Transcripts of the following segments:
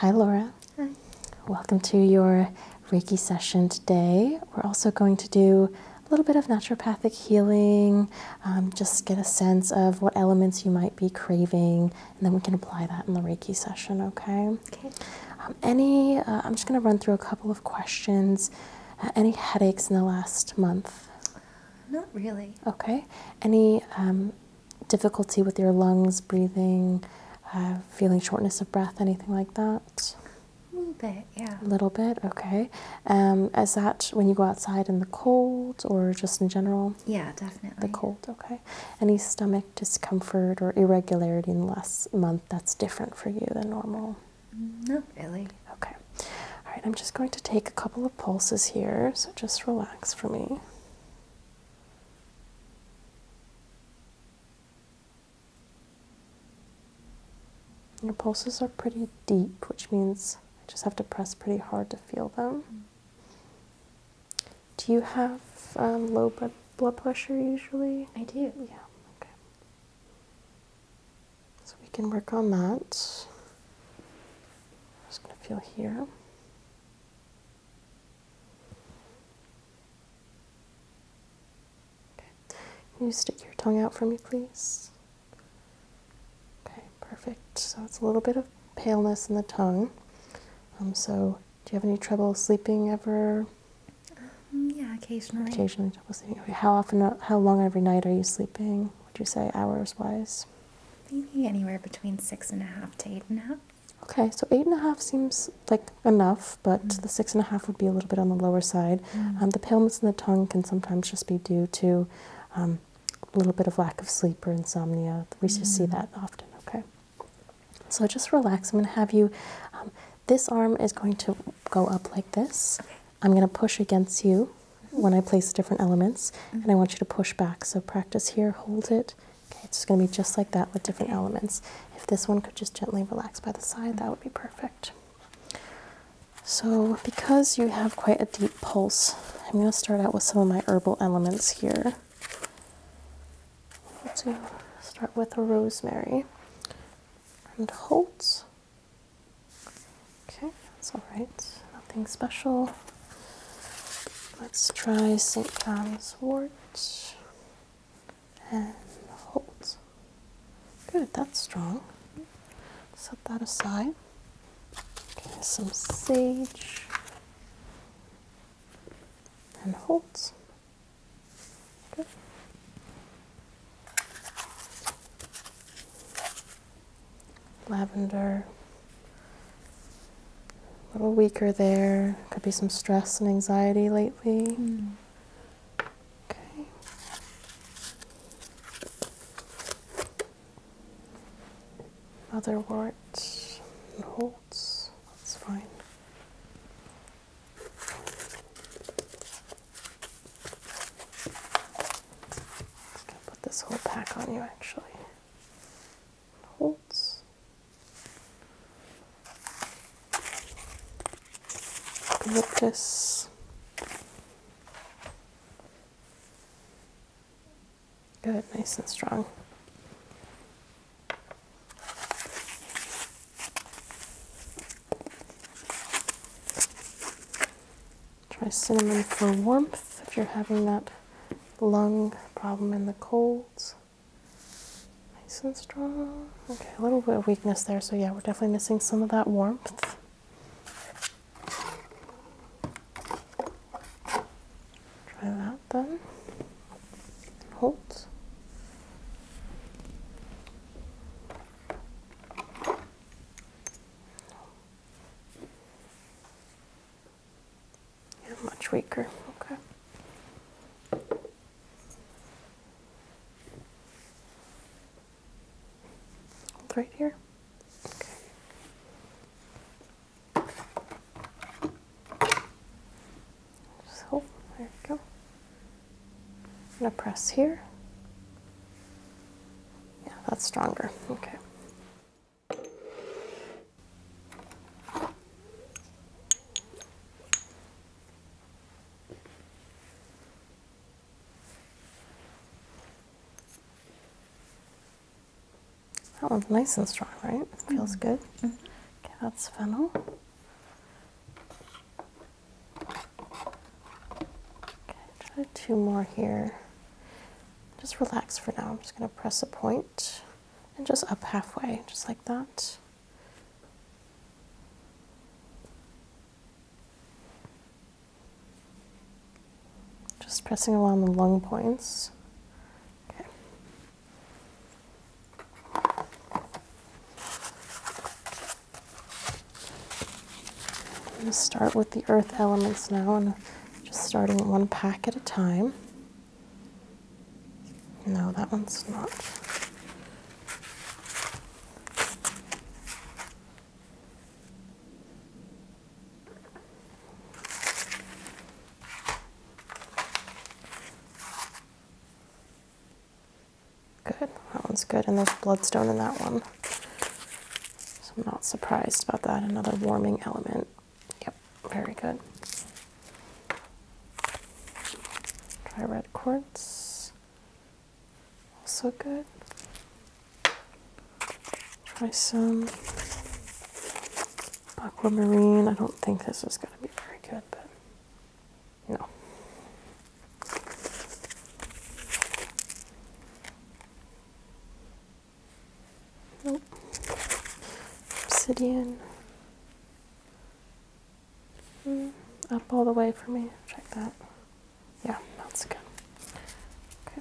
Hi, Laura. Hi. Welcome to your Reiki session today. We're also going to do a little bit of naturopathic healing, um, just get a sense of what elements you might be craving, and then we can apply that in the Reiki session, okay? Okay. Um, any, uh, I'm just going to run through a couple of questions. Uh, any headaches in the last month? Not really. Okay. Any um, difficulty with your lungs, breathing, uh, feeling shortness of breath, anything like that? A little bit, yeah. A little bit, okay. Um, is that when you go outside in the cold or just in general? Yeah, definitely. The cold, okay. Any stomach discomfort or irregularity in the last month that's different for you than normal? Not really. Okay. All right, I'm just going to take a couple of pulses here, so just relax for me. Your pulses are pretty deep, which means I just have to press pretty hard to feel them. Do you have um, low blood pressure usually? I do. Yeah, okay. So we can work on that. I'm just going to feel here. Can you stick your tongue out for me, please? Okay, perfect. So it's a little bit of paleness in the tongue. Um, so do you have any trouble sleeping ever? Um, yeah, Occasionally how often, uh, how long every night are you sleeping? Would you say hours wise? Maybe anywhere between six and a half to eight and a half. Okay, so eight and a half seems like enough, but mm. the six and a half would be a little bit on the lower side. Mm. Um, the paleness in the tongue can sometimes just be due to um, a little bit of lack of sleep or insomnia. We just see mm. that often. Okay, so just relax. I'm going to have you. Um, this arm is going to go up like this. I'm going to push against you when I place different elements, mm-hmm. and I want you to push back. So practice here, hold it. Okay, it's going to be just like that with different elements. If this one could just gently relax by the side, that would be perfect. So, because you have quite a deep pulse, I'm going to start out with some of my herbal elements here. let To start with a rosemary and holds Okay, that's all right. Nothing special. Let's try St. John's wort and hold. Good, that's strong. Set that aside. Okay, some sage and hold. Good. Lavender. A little weaker there. Could be some stress and anxiety lately. Mm. Okay. Motherwort and Holtz. That's fine. I'll put this whole pack on you actually. Holtz. Eucalyptus. Good, nice and strong. Try cinnamon for warmth if you're having that lung problem in the colds. Nice and strong. Okay, a little bit of weakness there, so yeah, we're definitely missing some of that warmth. Try that then. Hold. Yeah, much weaker. Okay. Hold right here. Okay. So there you go. I'm going to press here. Yeah, that's stronger. Okay. That one's nice and strong, right? Feels mm-hmm. good. Mm-hmm. Okay, that's fennel. Okay, two more here. Just relax for now. I'm just going to press a point and just up halfway, just like that. Just pressing along the lung points. I'm going to start with the earth elements now and just starting one pack at a time. No, that one's not. Good, that one's good, and there's bloodstone in that one. So I'm not surprised about that. Another warming element. Yep, very good. Try red quartz. Also good. Try some aquamarine. I don't think this is going to be very good, but no. Nope. Obsidian. Hmm, up all the way for me. Check that. Yeah, that's good. Okay.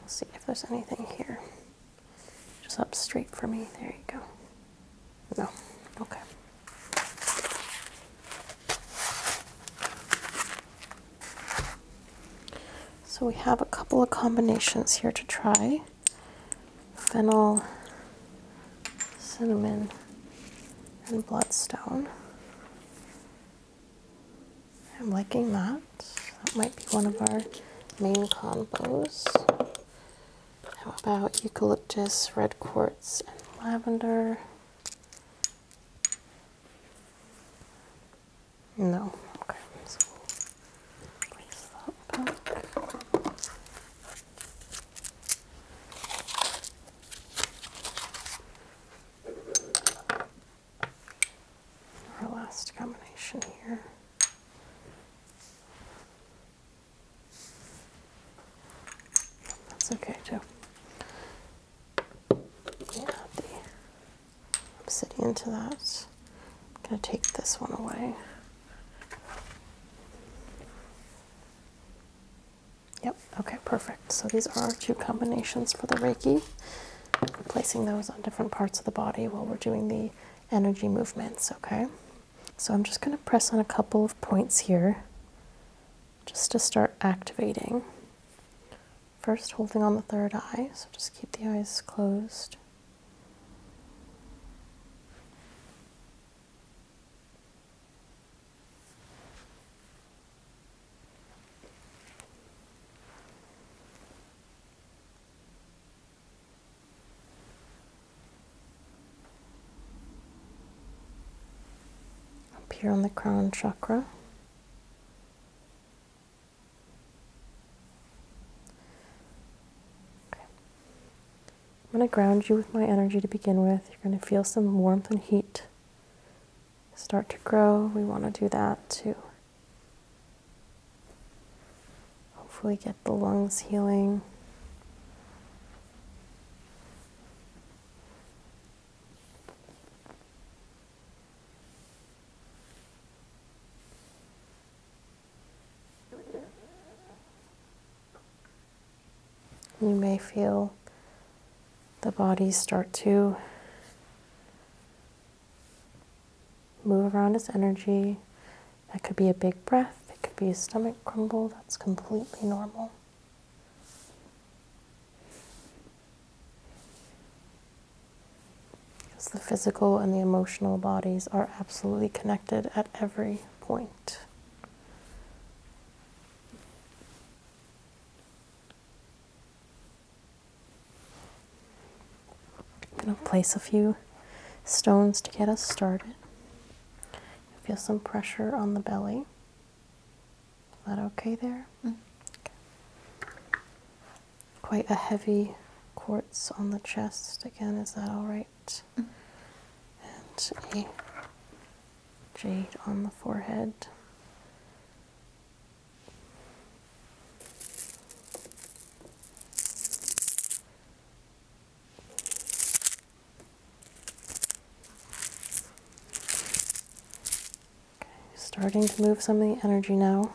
Let's see if there's anything here. Just up straight for me. There you go. No. Okay. So we have a couple of combinations here to try. Fennel, cinnamon, and bloodstone. I'm liking that. That might be one of our main combos. How about eucalyptus, red quartz, and lavender? No. Okay, Our last combination here. That's okay too. I'm sitting into that. I'm gonna take this one away. Yep, okay, perfect. So these are our two combinations for the Reiki. Placing those on different parts of the body while we're doing the energy movements, okay? So I'm just going to press on a couple of points here just to start activating. First, holding on the third eye, so just keep the eyes closed. Up here on the crown chakra. I'm going to ground you with my energy to begin with. You're going to feel some warmth and heat start to grow. We want to do that too. Hopefully, get the lungs healing. You may feel the body start to Move around his energy. That could be a big breath, it could be a stomach crumble. That's completely normal. Because the physical and the emotional bodies are absolutely connected at every point. I'm going to place a few stones to get us started. Feel some pressure on the belly. Is that okay there? Mm-hmm. Quite a heavy quartz on the chest. Again, is that all right? Mm-hmm. And a jade on the forehead starting to move some of the energy now.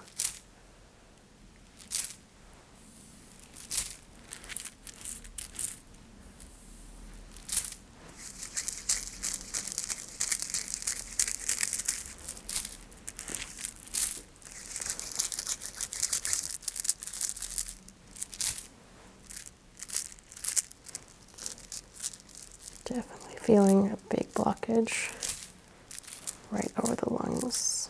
Definitely feeling a big blockage right over the lungs.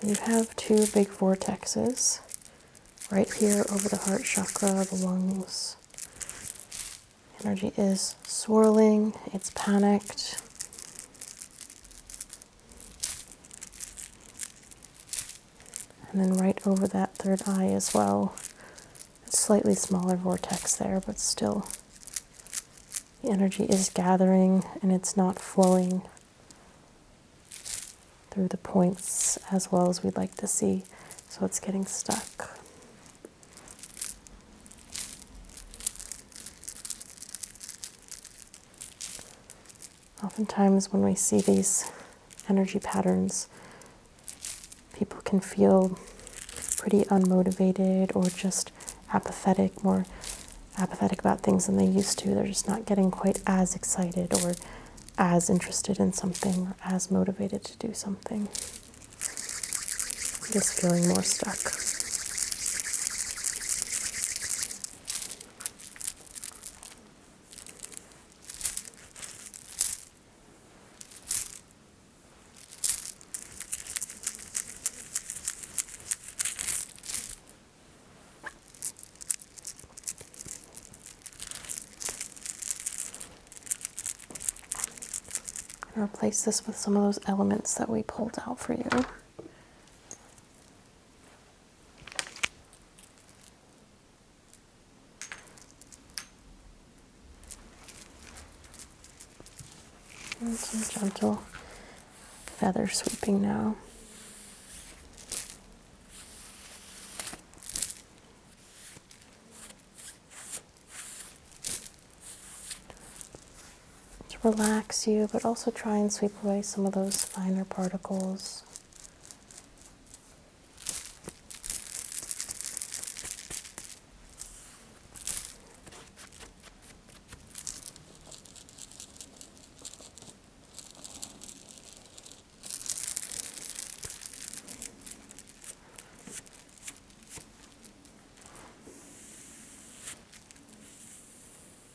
So you have two big vortexes right here over the heart chakra, the lungs. Energy is swirling, it's panicked. And then right over that third eye as well. A slightly smaller vortex there, but still the energy is gathering and it's not flowing through the points as well as we'd like to see, so it's getting stuck. Oftentimes, when we see these energy patterns, people can feel pretty unmotivated or just apathetic, more apathetic about things than they used to. They're just not getting quite as excited or as interested in something or as motivated to do something. Just feeling more stuck. I'm gonna replace this with some of those elements that we pulled out for you some gentle feather sweeping now. To relax you, but also try and sweep away some of those finer particles.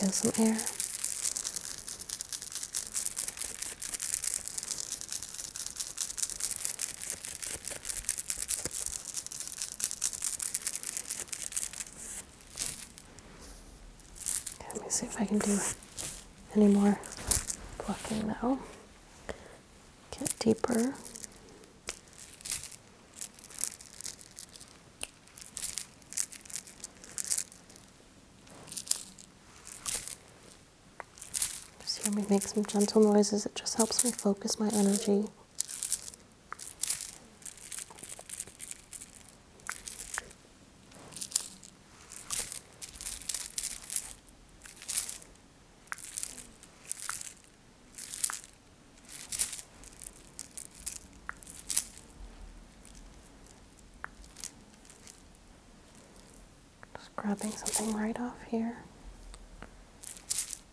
Feel some air let me see if I can do any more plucking now. Get deeper. Just hear me make some gentle noises. It just helps me focus my energy. Just grabbing something right off here.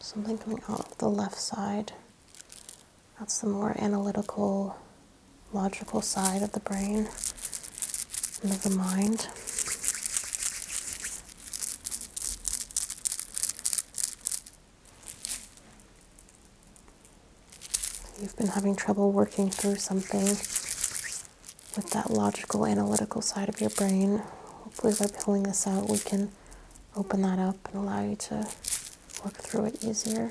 Something coming out of the left side. That's the more analytical, logical side of the brain and of the mind you've been having trouble working through something with that logical, analytical side of your brain, hopefully by pulling this out, we can open that up and allow you to work through it easier.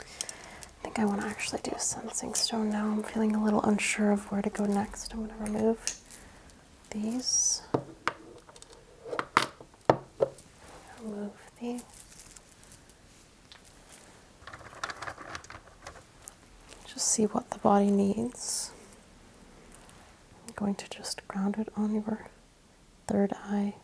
I think I want to actually do a Sensing Stone now. I'm feeling a little unsure of where to go next. I'm going to remove these. Remove these. Just see what the body needs. I'm going to just ground it on your third eye.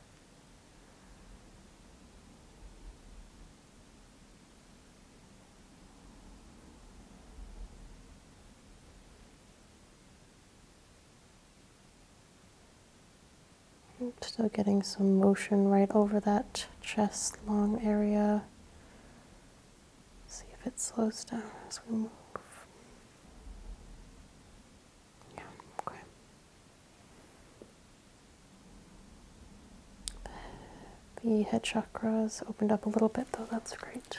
Still getting some motion right over that chest long area. See if it slows down as we move. The head chakra's opened up a little bit though, that's great.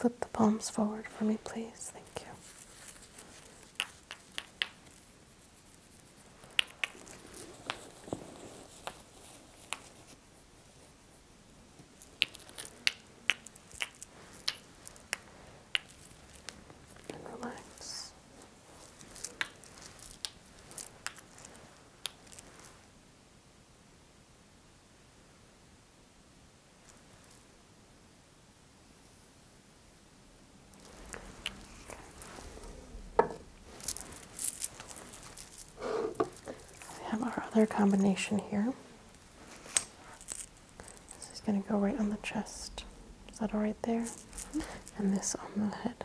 Can you flip the palms forward for me, please? Thank you and relax. We have our other combination here. This is going to go right on the chest. Is that all right there? Mm-hmm. And this on the head.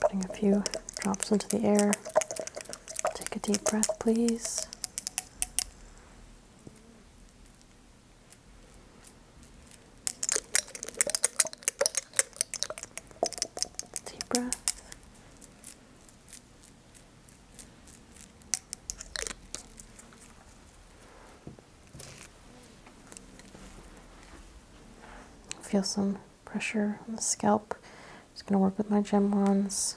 Putting a few drops into the air. Take a deep breath, please. Deep breath. Feel some pressure on the scalp. Just going to work with my gem wands.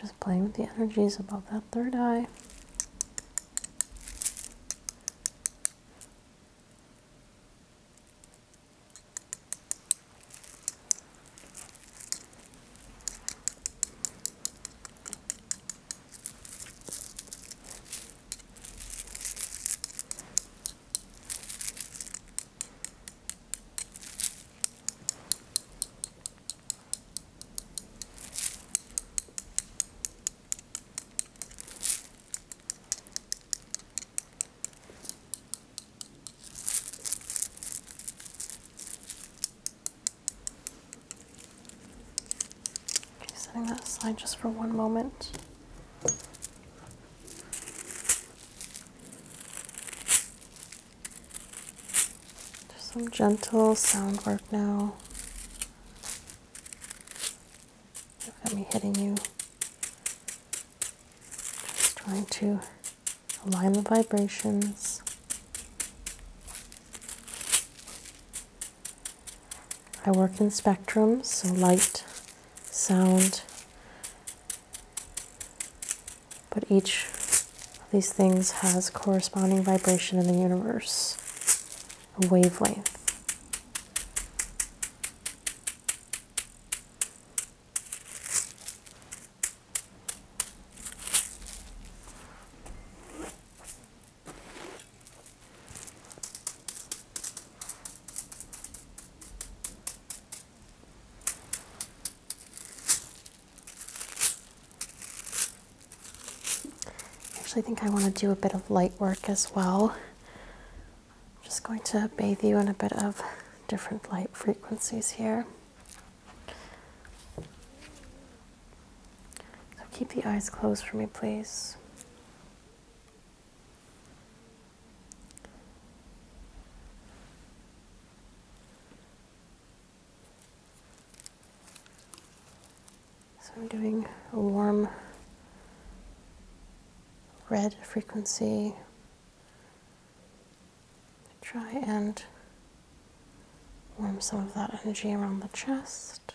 Just playing with the energies above that third eye. Okay, setting that aside just for one moment some gentle sound work now. Don't have me hitting you. Just trying to align the vibrations. I work in spectrums, so light sound. But each of these things has corresponding vibration in the universe, a wavelength actually think I want to do a bit of light work as well. I'm just going to bathe you in a bit of different light frequencies here. So keep the eyes closed for me, please. So I'm doing a warm red frequency. Try and warm some of that energy around the chest.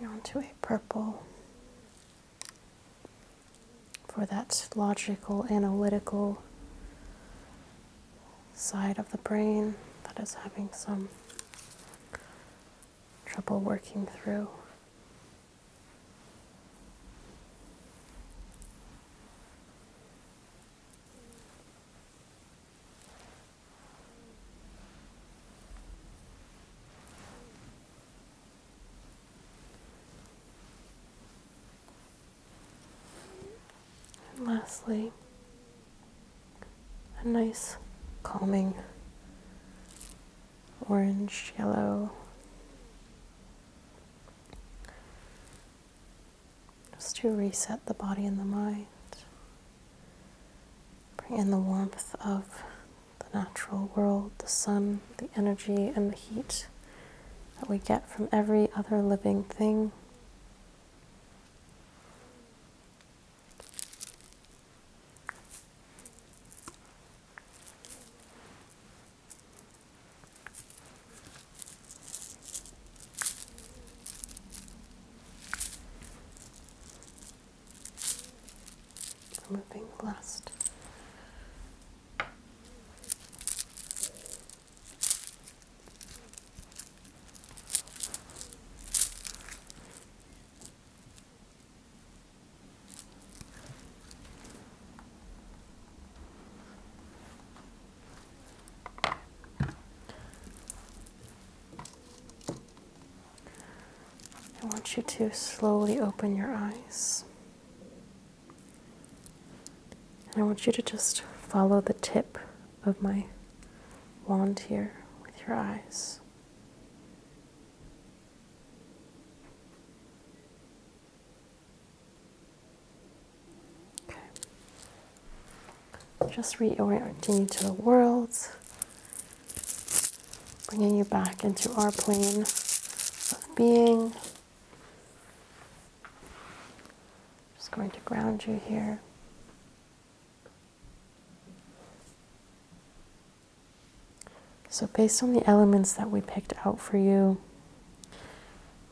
Moving to a purple. For that logical, analytical side of the brain that is having some trouble working through. And lastly, a nice calming orange yellow. Just to reset the body and the mind. Bring in the warmth of the natural world, the sun, the energy, and the heat that we get from every other living thing. Removing the last I want you to slowly open your eyes. And I want you to just follow the tip of my wand here with your eyes. Okay just reorienting you to the worlds, bringing you back into our plane of being. Just going to ground you here. So, based on the elements that we picked out for you,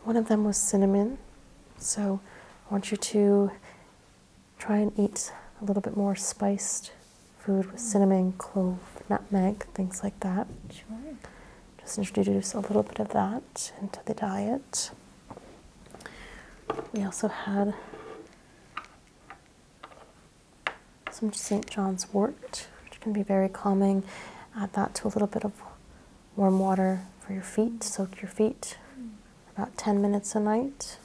one of them was cinnamon. So, I want you to try and eat a little bit more spiced food with cinnamon, clove, nutmeg, things like that. Sure. Just introduce a little bit of that into the diet. We also had some St. John's wort, which can be very calming. Add that to a little bit of warm water for your feet, soak your feet. Mm about 10 minutes a night.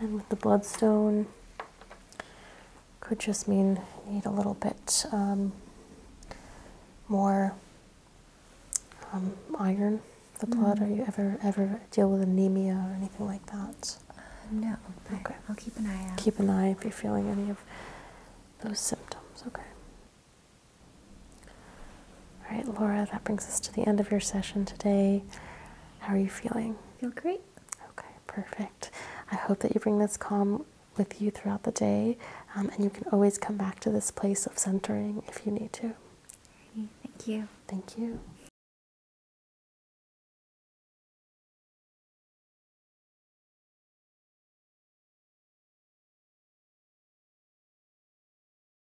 And with the bloodstone, could just mean you need a little bit um, more um, iron. The mm. blood. Mm. Are you ever ever deal with anemia or anything like that? no. Okay. I'll keep an eye out. Keep an eye if you're feeling any of those symptoms. Okay. All right, Laura, that brings us to the end of your session today. How are you feeling? feel great. Okay, perfect. I hope that you bring this calm with you throughout the day, um, and you can always come back to this place of centering if you need to. Thank you. Thank you.